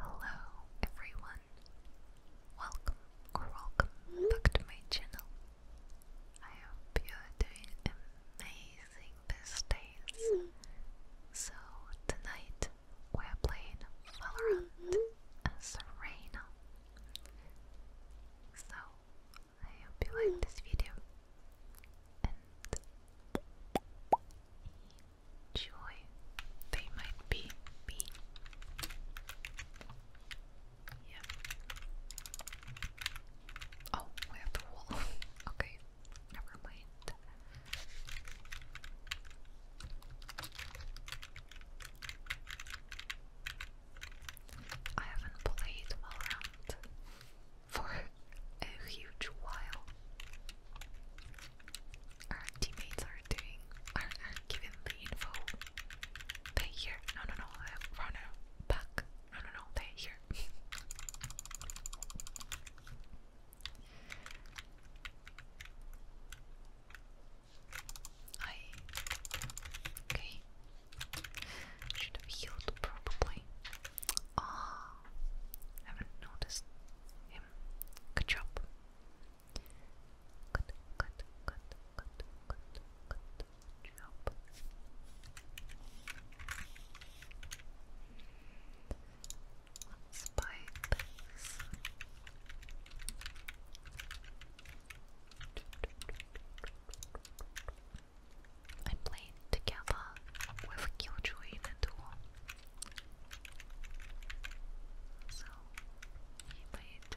Hello everyone. Welcome welcome back to my channel. I hope you are doing amazing these days. So tonight we're playing Valorant as Reina. So I hope you like this video joy they might be being. Yep. Oh, we have the wall. okay, never mind. I haven't played Valorant for a huge while our teammates are doing, are, are giving the info. They here. No, no, no. Runner back. No, no, no. They here. I okay. Should have healed probably. Ah, haven't noticed him. Good job. Good, good, I played together with Killjoy in a so he might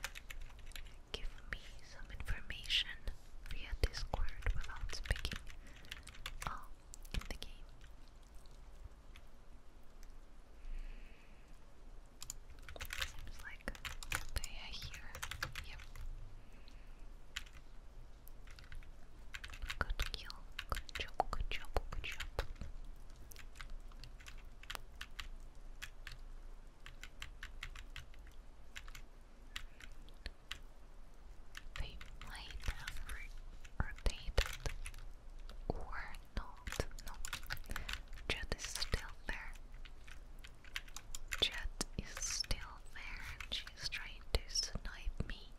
give me some information via Discord without speaking oh, in the game. Seems like they are here. Good kill. Good job. Good job. Good job. They might have rotated or not. No, Jet is still there. Jet is still there she's trying to snipe me.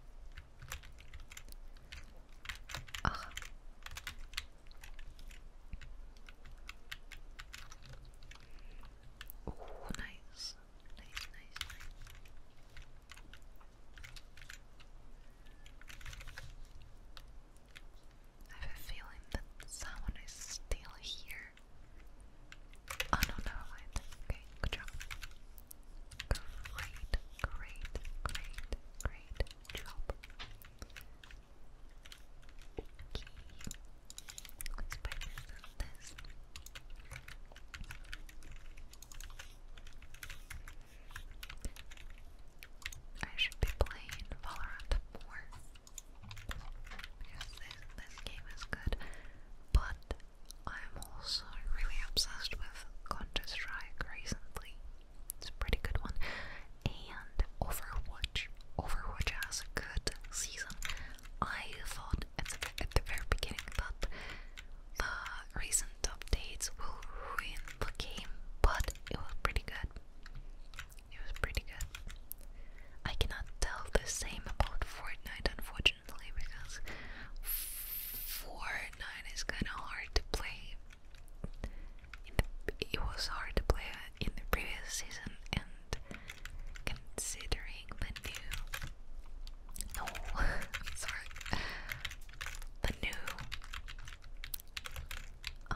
Ach. Oh, nice. Nice, nice, nice. I have a feeling that someone is still here. Oh no, never mind. Okay, good job. Great, great, great, great let's buy this I should be playing Valorant more this game is good, but I'm also really obsessed with Counter Strike recently. It's a pretty good one. And Overwatch. Overwatch has a good season. I thought at the, very beginning that the recent updates will ruin the game, but it was pretty good. It was pretty good. I cannot tell the same about Fortnite, unfortunately, because Fortnite is kind of hard to play it was hard to play uh, in the previous season, and considering the new, no, sorry, the new uh,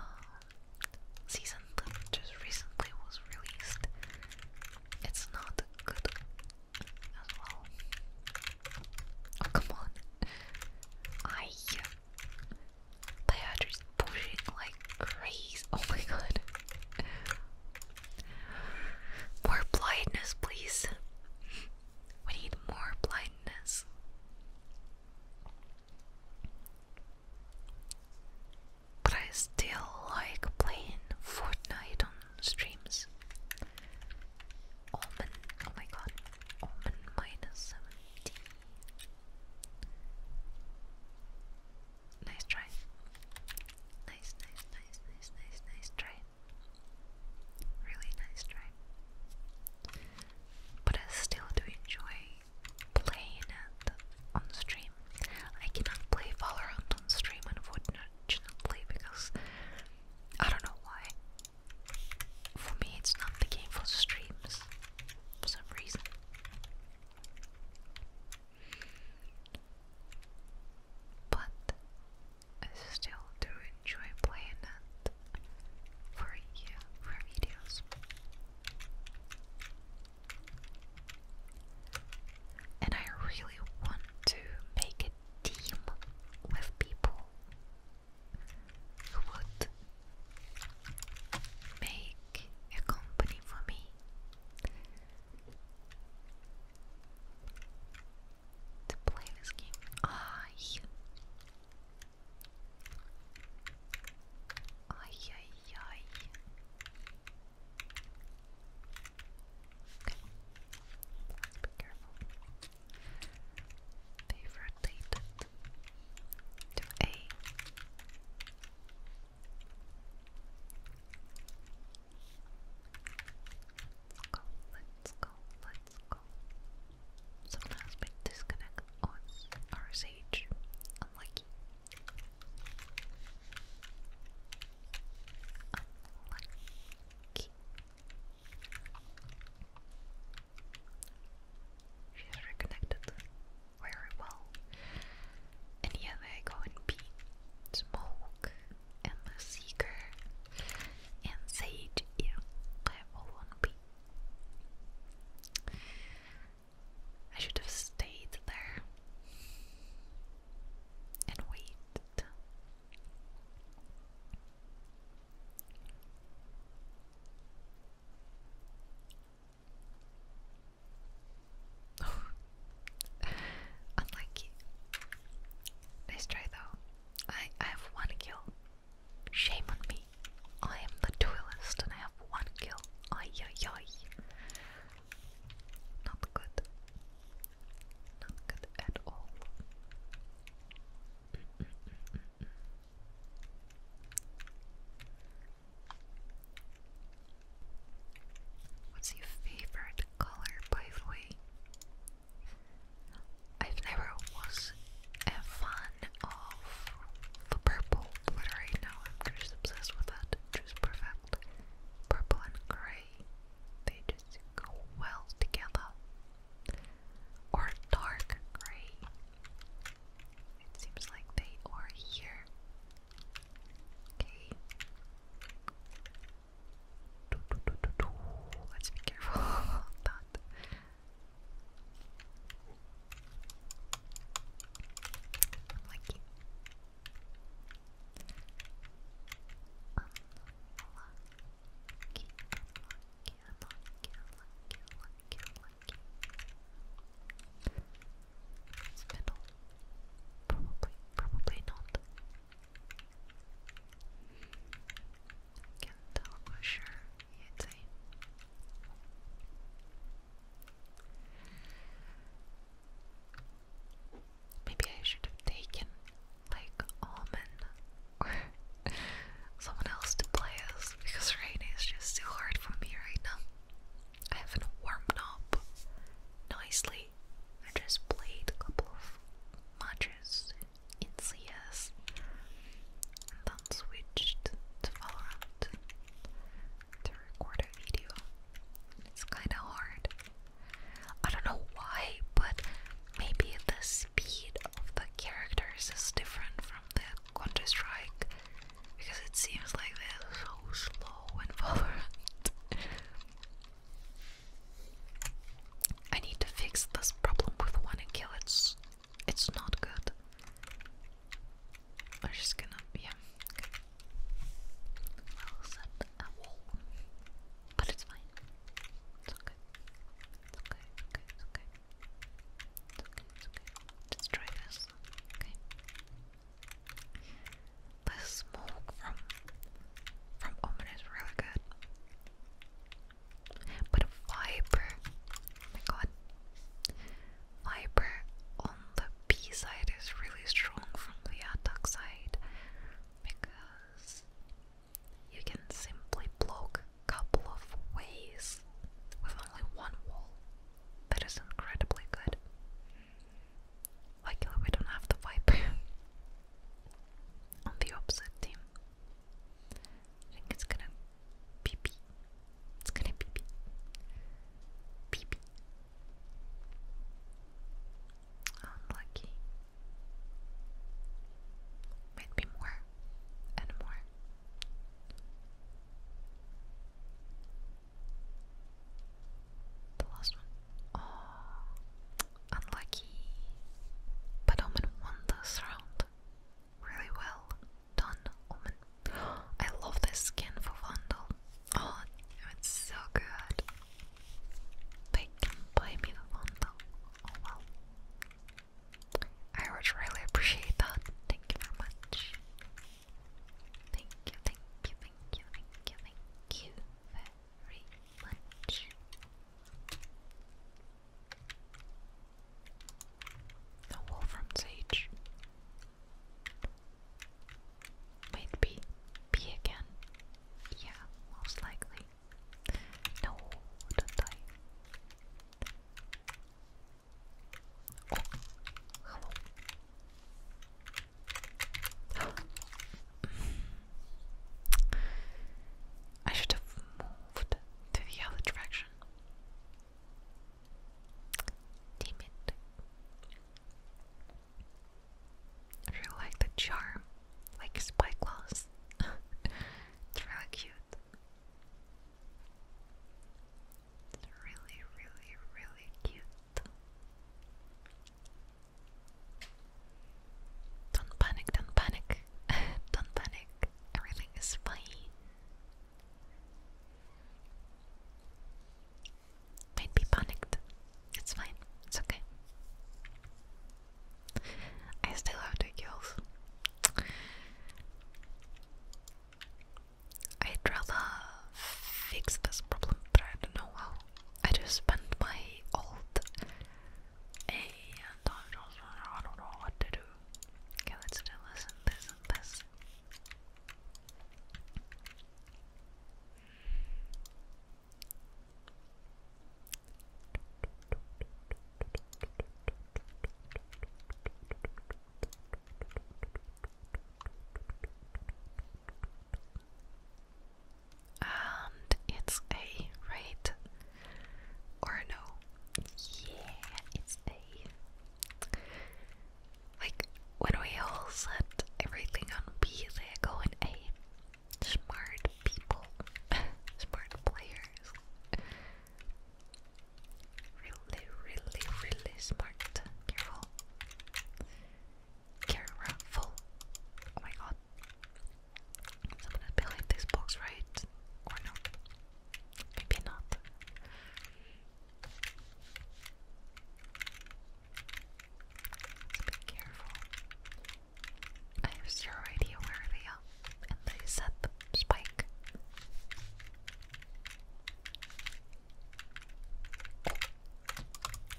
season that just recently was released, it's not good as well. Oh, come on. I uh, they are just pushing like crazy. Oh my god. More blindness, please. We need more blindness. But I still like playing Fortnite on streams. oh, oh my god. Omen minus 17. Nice try. Nice, nice, nice, nice, nice, nice try. Really nice try. But I still do enjoy playing on stream. I cannot play Valorant on stream, unfortunately, because I don't know why. For me, it's not the game for the streams for some reason. But I still do enjoy playing it for you, for videos. And I really want to make a team with people who would make a company for me to play this game. Ay, ay, ay, be careful. They've to A. Let's go, let's go, let's go. Someone has been disconnected. RSH. Unlucky. Unlucky. She is very well. And here they go in Pete, Smoke, and the Seeker, and Sage. Yeah, they're all on B. I should have stayed there and waited. Unlucky. Nice try though. I I have one kill. Shame on me. I am the duelist and I have one kill. Ay ay ay. Not good. Not good at all. What's your favorite color, by the way? I've never was a fan of the purple, but right now I'm just obsessed with that. Just perfect. Purple and grey, they just go well together or dark gray. It seems like they are here. Okay. Let's be careful of lucky lucky, lucky, Probably, probably not. Can't tell for sure Maybe I should have taken like almond someone else to play as because rain is just too hard for me right now. I haven't warmed up nicely. I just played a couple of matches in CS and then switched to Valorant to record a video. It's kinda hard. I don't know why, but maybe the speed of the characters is different from this. Counter Strike because it seems like they're so slow and Valorant. I need to fix this problem with one and kill. It's it's not good. I'm just gonna yeah. I'll but it's fine. It's okay. It's okay. Okay. It's okay okay, okay. Let's try this. Okay. The smoke from from Omen is really good. But fiber, oh my god, fiber on the B side is really strong from the attack side because you can simply block couple of ways with only one wall. That is incredibly good. Luckily, we don't have the wipe on the opposite team. I think it's gonna pee pee. It's gonna pee pee. Pee pee. Unlucky. Might be more and more the last one. Oh, unlucky. But Omen won this round. Really well done, Omen. I love this skin for Vandal. Oh, it's so good. They can buy me the Vandal. Oh well. I would really appreciate that. Thank you very much. Thank you, thank you, thank you, thank you, thank you very much. The Wolfram Sage. B again. Yeah, most likely. No, don't die. I should have moved to the other direction. Damn I really like the charm, like spyglass. it's really cute. It's really, really, really cute. Don't panic, don't panic, don't panic. Everything is fine. Might be panicked. It's fine. It's okay. I still have the kills. I'd rather fix this problem, but I don't know how. I just spent my old A and I don't know what to do. Okay, let's do this this and this. And it's A, right? Or no? Yeah, it's A. Like, when we all set everything on B, they are going A. Smart people, smart players. Really, really, really smart. Careful. Careful. Oh my god. Someone is behind this box, right? Or no? Maybe not. be careful. I have no idea where we are and they set the spike.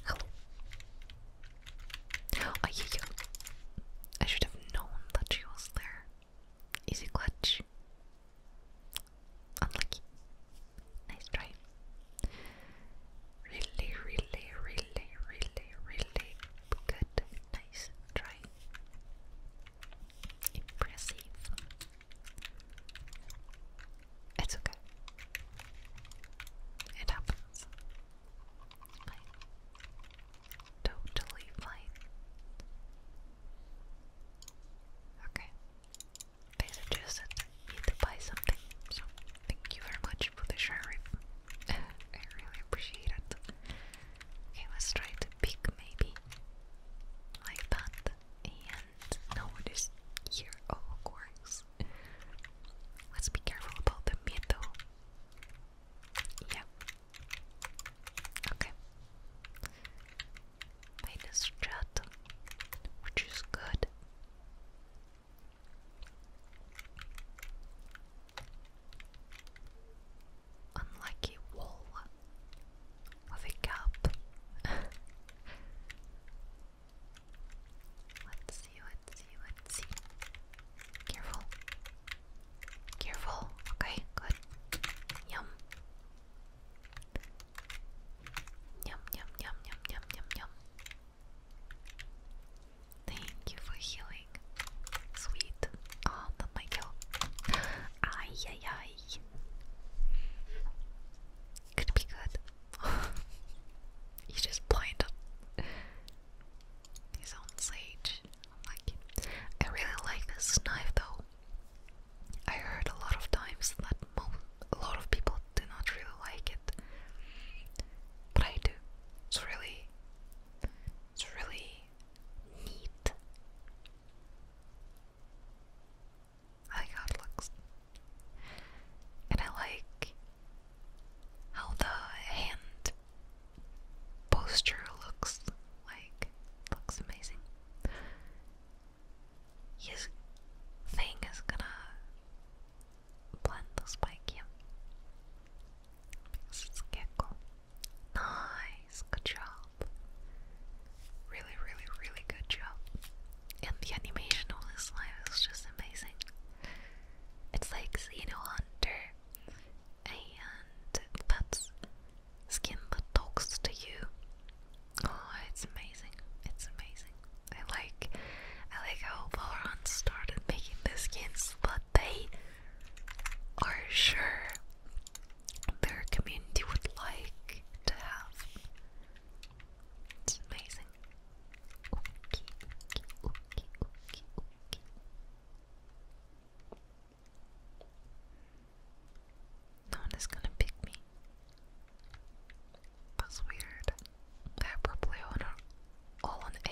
Hello. Oh, yeah, yeah. I should have known that she was there. Easy clutch. Unlucky. Nice try. Really, really, really, really, really good. Nice try. Impressive. It's okay. It happens. Fine. Totally fine. Okay. They suggested me to buy something, so thank you very much for the sharing. I really appreciate it. Okay, let's try to pick maybe like that. And now it is here, oh, of course. Let's be careful about the mid Yeah. Okay. Minus chat, which is good unlucky wall of a cup. let's see, let's see, let's see. Careful. Careful. Okay, good. Yum. Yum, yum, yum, yum, yum, yum, Thank you for healing. Sweet. Oh, not my kill. Ay, ay, ay. Could be good. you just blind his own sage. I like I really like this knife though. I heard a lot of times that a lot of people do not really like it, but I do. It's really, it's really neat. I like looks. And I like how the hand posture looks. Like, looks amazing. His thing is gonna blend the spike in. Because it's Nice, good job. Really, really, really good job. And the animation on this live is just amazing. It's like Xeno Hunter, and that's skin that talks to you. Oh, it's amazing! It's amazing. I like, I like how Valorant started making the skins, but they are sure their community would like to have. It's amazing. No one is gonna pick me. That's weird. They're probably all on A.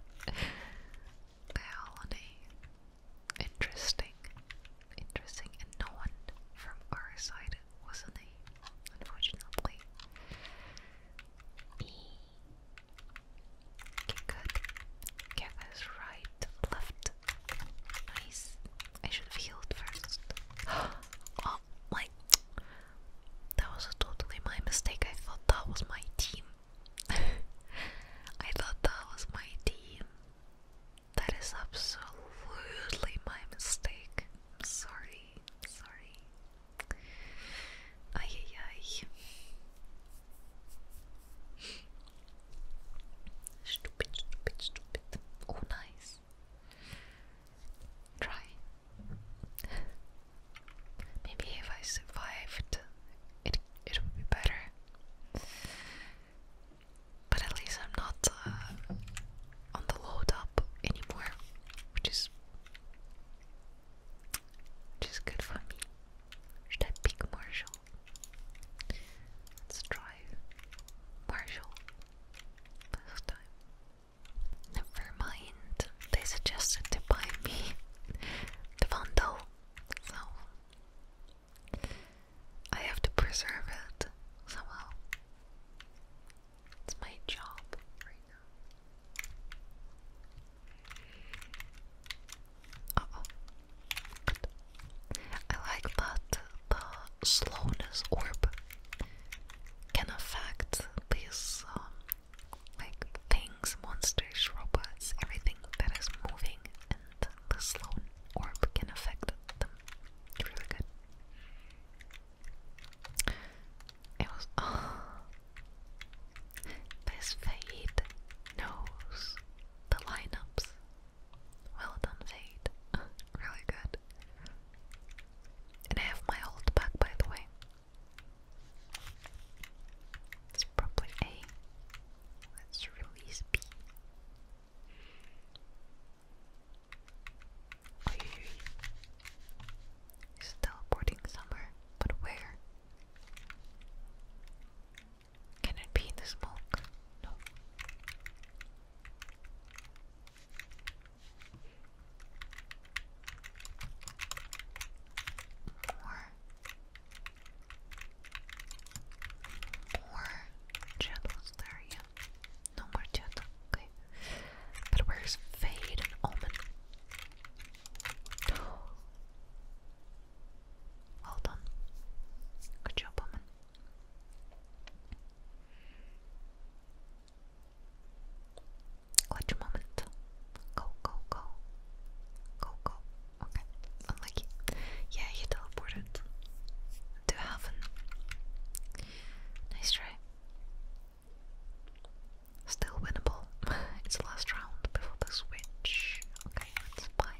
They're all on A. Interesting. Interesting. And no one from our side was a name, unfortunately. E. good. Get this right, left. Nice. I should have healed first. oh, my. That was totally my mistake. I thought that was my team. I thought that was my team. That is absolutely my mistake. I'm sorry, sorry. Ay, ay, Stupid, stupid, stupid. Oh, nice. Try. Maybe if I survived, it it would be better. But at least I'm not uh, on the load up anymore, which is which is good for me. Should I pick Marshall? Let's try Marshall this time. Never mind. They suggested to buy me the bundle, so I have to preserve it somehow. It's my job right now. I like that the slowness orb can affect these um, like things, monsters, robots, everything that is moving and the Sloan orb can affect them. It's really good. It was. This Fade knows the lineups. Well done, Fade. really good. And I have my ult back, by the way. It's probably A. Let's release B. He's teleporting somewhere, but where? Can it be the smoke? No. More shadows there, yeah. No more shadow, okay. But where's Fade and Omen? Well done. Good job, Omen. Clutch moment. Go, go, go. Go, go. Okay, unlucky. Yeah, he teleported to heaven. Nice try. Still winnable. it's last round before the switch. Okay, let's buy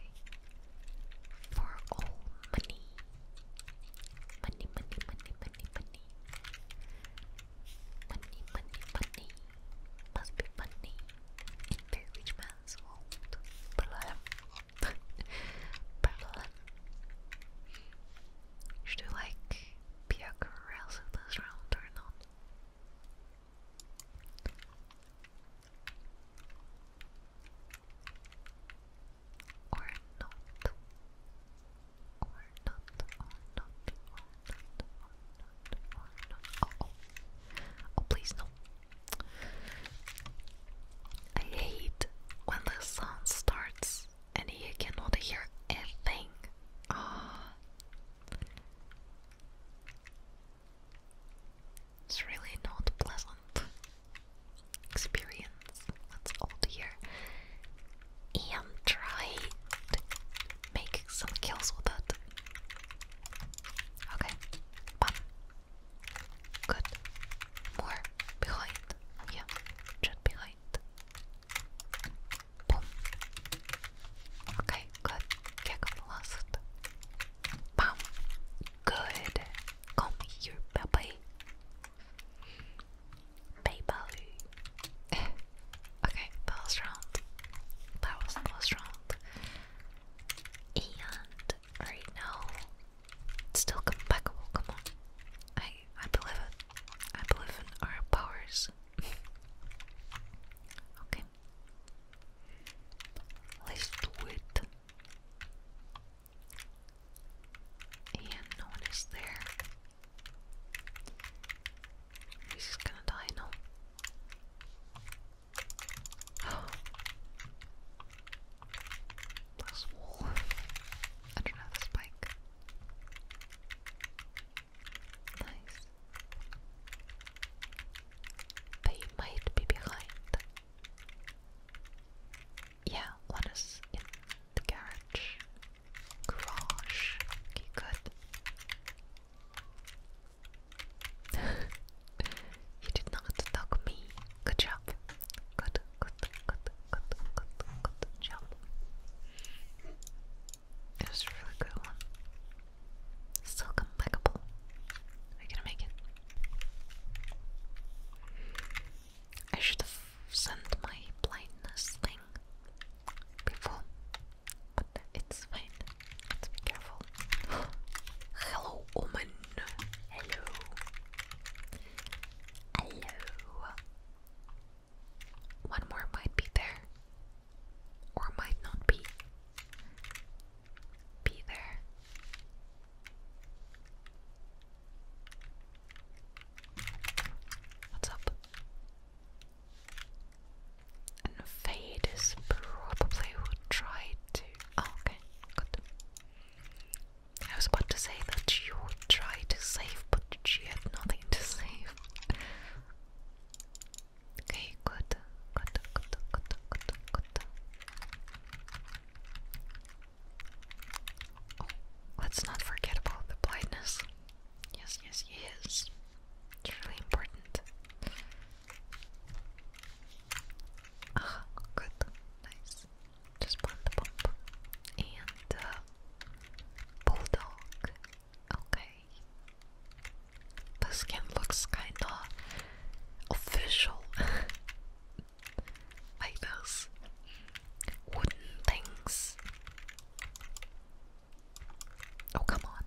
for all money. Money, money, money, money, money. Money, money, money. Must be money in very rich man's world. Blah problem. Should we be a corrals this round or not, or not, or not, or not. Oh, oh. oh please, no. I hate when the song starts and you cannot hear a thing. Oh. It's really not pleasant experience. That's all here. I'm to make some kills with it. Okay, one, Good. More behind. Yeah, just behind. Boom. Okay, good. Yeah, got lost. Bam. Good. Come here, baby. Baby. okay, last That was the last And right now. It's still compatible, come on. I I believe it. I believe in our powers. okay. Let's do it. And no one is there. He's just gonna die now. This wall. I don't know this bike. Nice. They might be behind. Yeah, one is in the garage. Garage. Okay, good. You did not dog me. Good job. Good, good, good, good, good, good, job. It was a really good one. Still complicable. we gonna make it. I should have sent my blindness thing before, but it's fine. be careful. Hello, woman. Hello. Hello. One more might be there. Or might not be. Be there. What's up? And Fade is probably who tried to. Oh, okay, good. I was about to say that you would try to save, but she had nothing to save. okay, good, good, good, good, good, good. Oh, let's not forget about the blindness. Yes, yes, yes. It's really important. Ah, good, nice. Just pop the pump. And uh, bulldog. Okay. The skin looks kinda official. like those wooden things. Oh come on.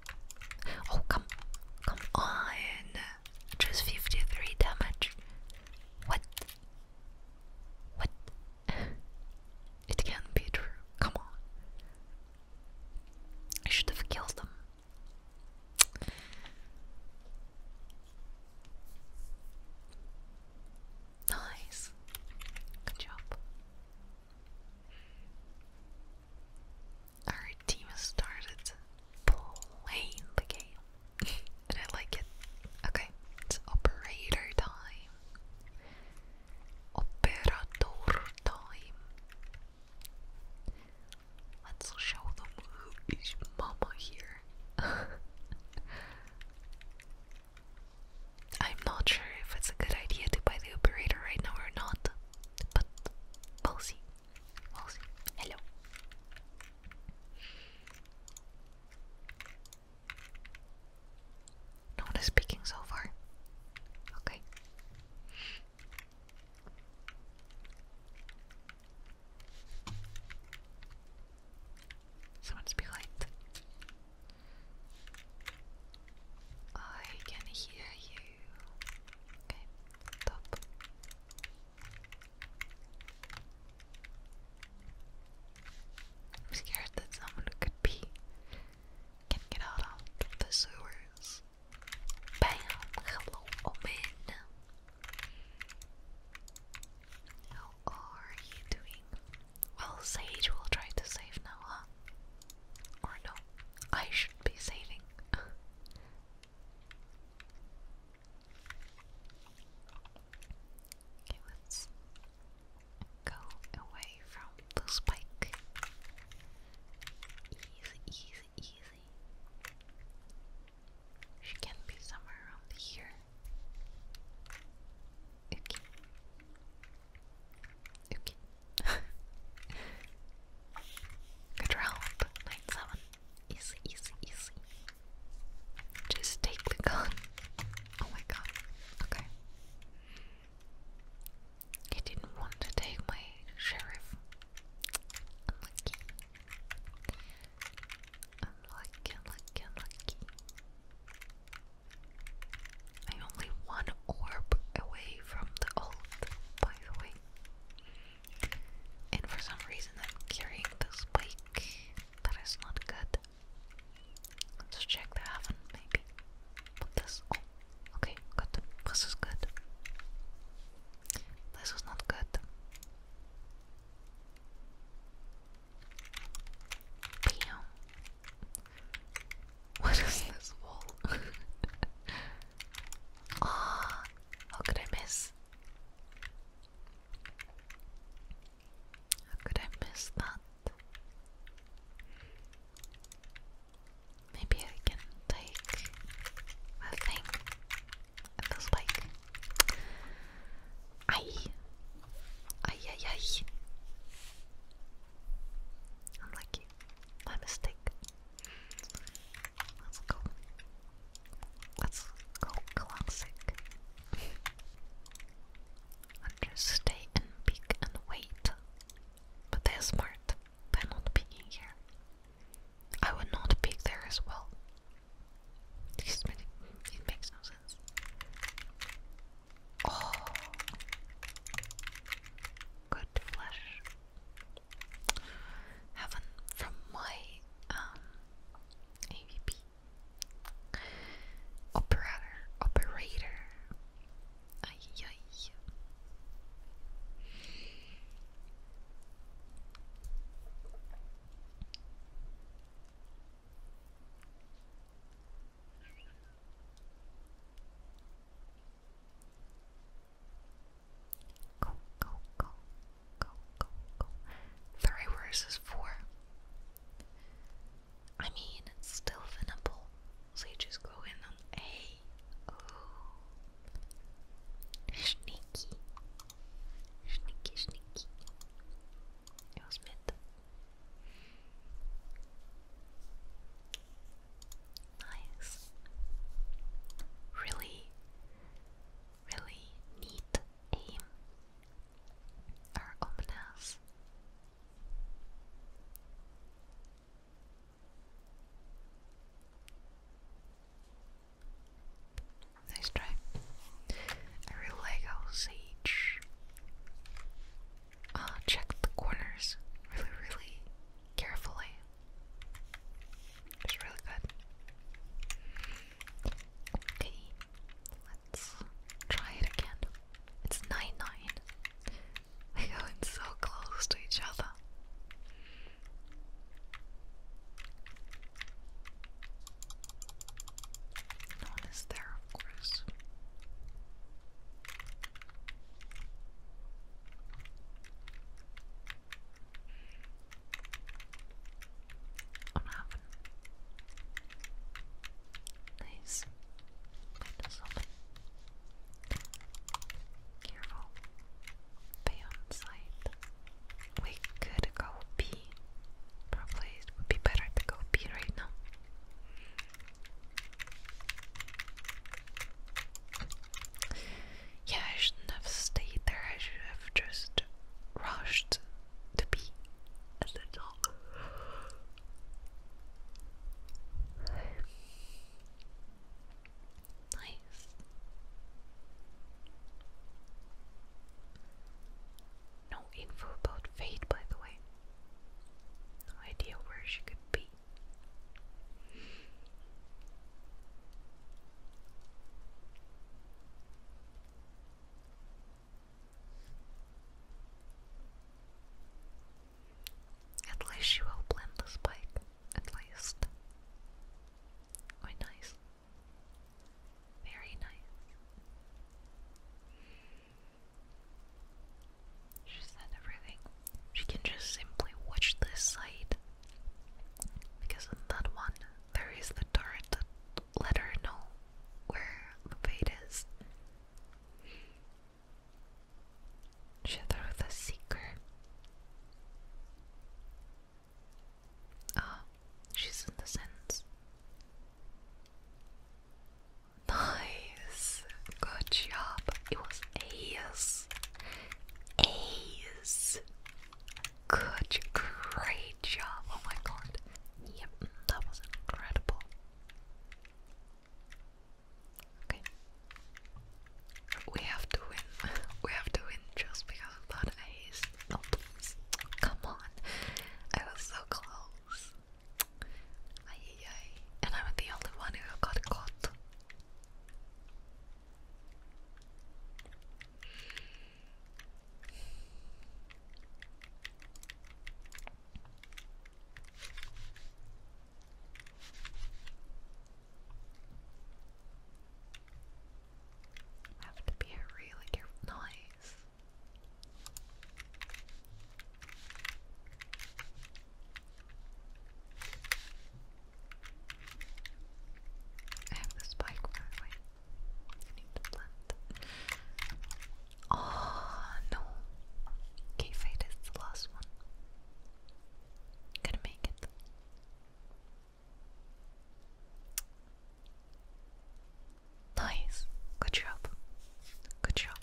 Oh come come on. Just 53 damage. What? What? it can't be true. Come on. I should have killed them. Nice. Good job. Our team has started playing the game. and I like it. Okay, operator time. Operator time. Let's show them who is mama here. I'm not sure if it's a good idea to buy the operator right now or not, but we'll Hello. No one is speaking so far. Okay. Someone's behind. I can hear you. Okay, top. I'm scared that someone could be can out of the sewers. Bam! Hello, Omen. How are you doing? Well, Sage will try to save Noah. Or no, I should be saving. Okay, let's go away from the spike. Easy, easy, easy. She can be somewhere around here. Okay. Okay. Good round, 9-7. Easy, easy, easy. Just take the gun. Oh my god. Okay. He didn't want to take my sheriff. Unlucky. Unlucky, unlucky, unlucky. I'm only one orb away from the old, by the way. And for some reason, I'm carrying this bike. That is not good. Let's check the oven, maybe. this. okay, good. This is good. This is not good. Bam. What is this wall? Ah, how could I miss? How could I miss that? Maybe I can take a thing. It feels like. Aye. Aye, aye, aye. Unlucky. My mistake. Let's go. Let's go classic. and just stay and pick and wait. But they're smart by not picking here. I would not pick there as well. it makes no sense. Oh, good flash. Heaven from my um AVP Operator Operator Ay ay Go, go, go. Three versus four. I mean, it's still winnable. So you just go in on A. Ooh. Sneaky. Sneaky, sneaky. It was Nice. Really, really neat aim are ominous. Nice try. I really like how Sage uh, ah, checked the corners really, really carefully. It's really good. Okay, let's try it again. It's 9 9. We're going so close to each other. No there, of course unhappen. Nice. That does something. Careful. Be on site. We could go pee. Probably it would be better to go pee right now. Yeah, I shouldn't have stayed there. I should have just rushed to be a little. Nice. No info about Fate, by the way. No idea where she could be. At least she will blend the spike, at least. Oh, nice. Very nice. She said everything. She can just simply watch this side because in that one, there is the turret that let her know where the bait is. Shadow the Seeker. Ah, oh, she's in the sense. Nice! Good job! It was Ace! Ace! Good, great job. Oh my god. Yep, that was incredible. Okay. We have to win. We have to win just because of that ace. No, please. Come on. I was so close. Ay, And I'm the only one who got caught. Have to be a really careful noise. have the spike I Oh no. Okay, is the last one. Gonna make it. Nice. Good job. Good job.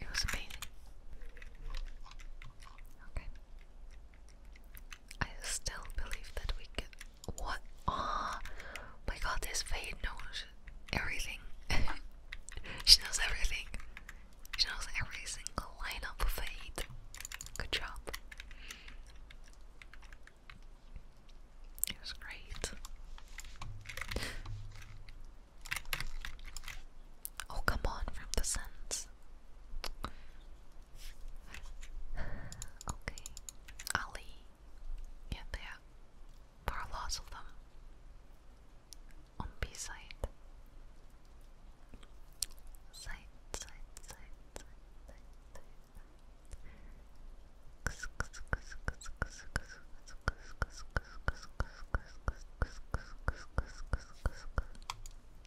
It was amazing. Okay. I still believe that we can. What? Ah! my god, this fade knows everything. she knows everything. She knows every single line of Fate. Good job. It was great. Oh, come on, from the sense this. Okay, Ali. Yeah, there there lots of them on B Side, side, side, side, side, side.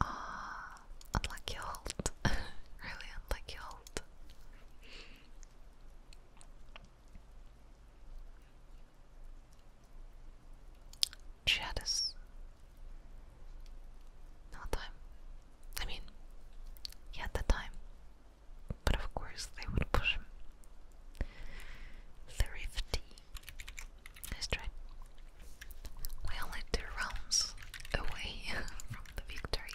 Ah, unlucky hold. really unlucky hold. Shadows. No time. I mean, he had the time. But of course, they would push him. Thrifty. Let's try. We're only two rounds away from the victory.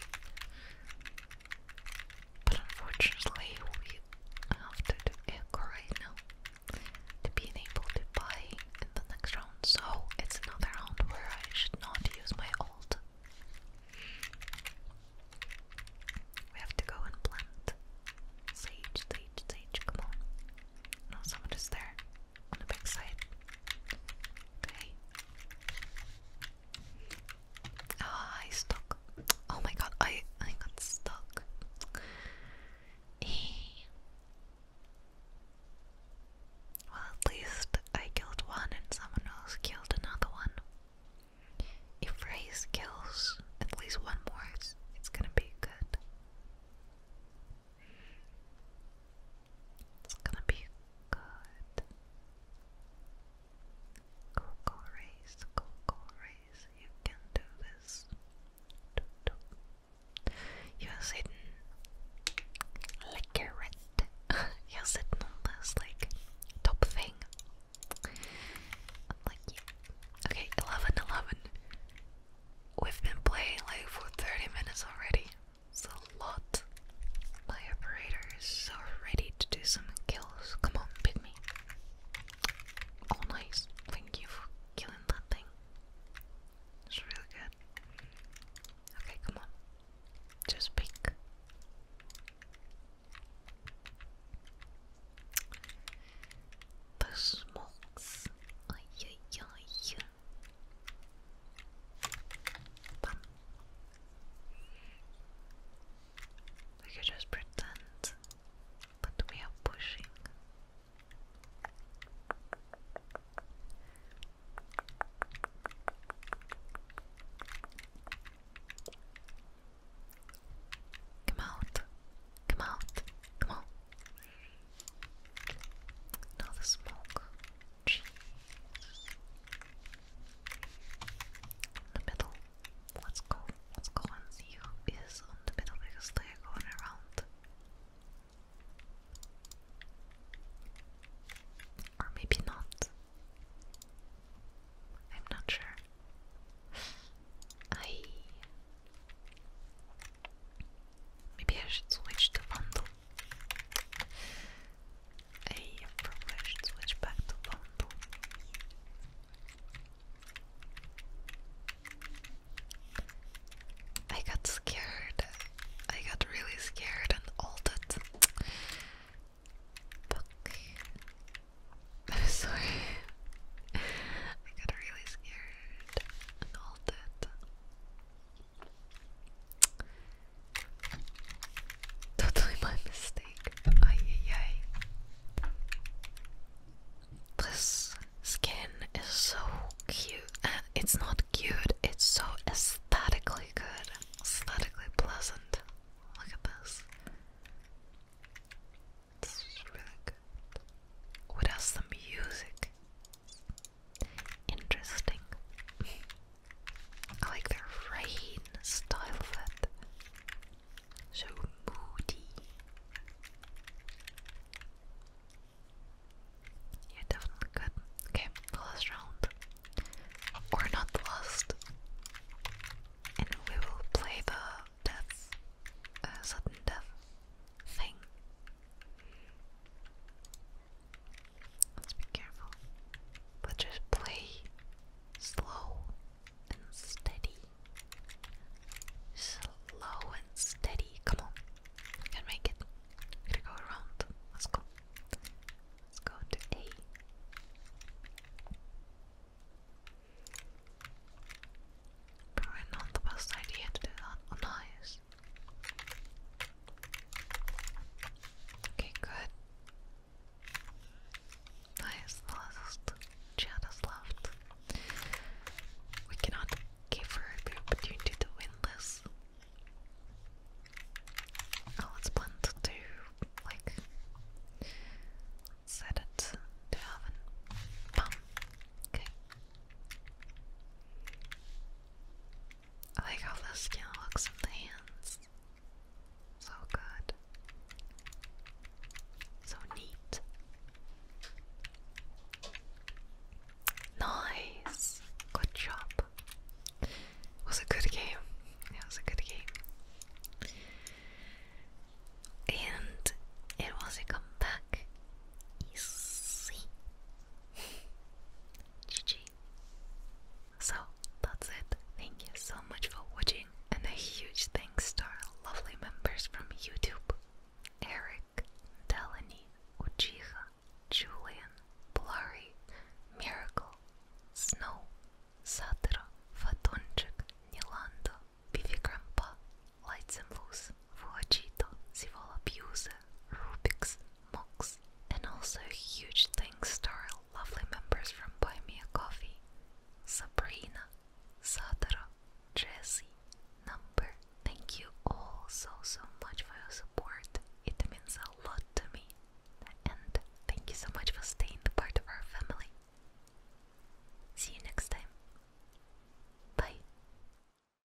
But unfortunately, we have to do echo right now to be able to buy in the next round. So it's another round where I should not use my ult. We have to go and plant. Sage, sage, sage, come on. No, someone is there on the back Okay. Oh, I stuck. Oh my god, I I got stuck. Eh. Well, at least I killed one and someone else killed another one. If Ray kills at least one more, it's gonna be good. It's gonna be good. Coco race, Coco race, you can do this. You're sitting like a rat. You're sitting on this like top thing. like yeah. Okay, eleven, eleven. We've been playing like for 30 minutes already. It's a lot. My operator is so ready to do some kills. Come on, beat me. Oh, nice. Thank you for killing that thing. It's really good. Okay, come on. Just pick. The smokes. Ay, ay, ay. We could just pretend that we are pushing. Come out, come out, come out. Now the smoke. the middle. Let's go. Let's go and see who is on the middle because they are going around. Or maybe not. I'm not sure. I Maybe I should switch to Vandal. Hey, probably I should switch back to Vandal. I got scared. I got really scared and altered. Fuck. I'm sorry. I got really scared and altered. Totally my mistake. Ay, ay, This skin is so cute. Uh, it's not cute, it's so aesthetically good, aesthetically pleasant. Look at this. This really good. What else? The music. Interesting. I like their rain style of it. So moody. Yeah, definitely good. Okay, last round. Or not last. And we will play the death, uh, sudden death thing. Let's be careful. But just play slow and steady. Slow and steady. Come on. We can make it. gonna go around. Let's go. Let's go to A. Probably not the best idea to do that on oh, eyes. Okay, good. Nice, the last left. We cannot give her the opportunity to win this. Oh, let's plan to like, set it to oven. Okay. I like how the skin looks on the hands. So good. So neat. Nice. Good job. was a good game. It was a good game. And it was a comeback. Easy. GG. So that's it. Thank you so much for watching, and a huge thanks to our lovely members from YouTube Eric, Delany, Uchiha, Julian, Blurry, Miracle, Snow, Satiro, Fatonchik, Nilando, Vivi Lights and Loose, Vojito, Sivola Busa, Rubik's, Mox, and also huge thanks to our lovely members from Buy Me a Coffee, Sabrina, Sadara, Jessie, Number. Thank you all so so much for your support. It means a lot to me. And thank you so much for staying the part of our family. See you next time. Bye.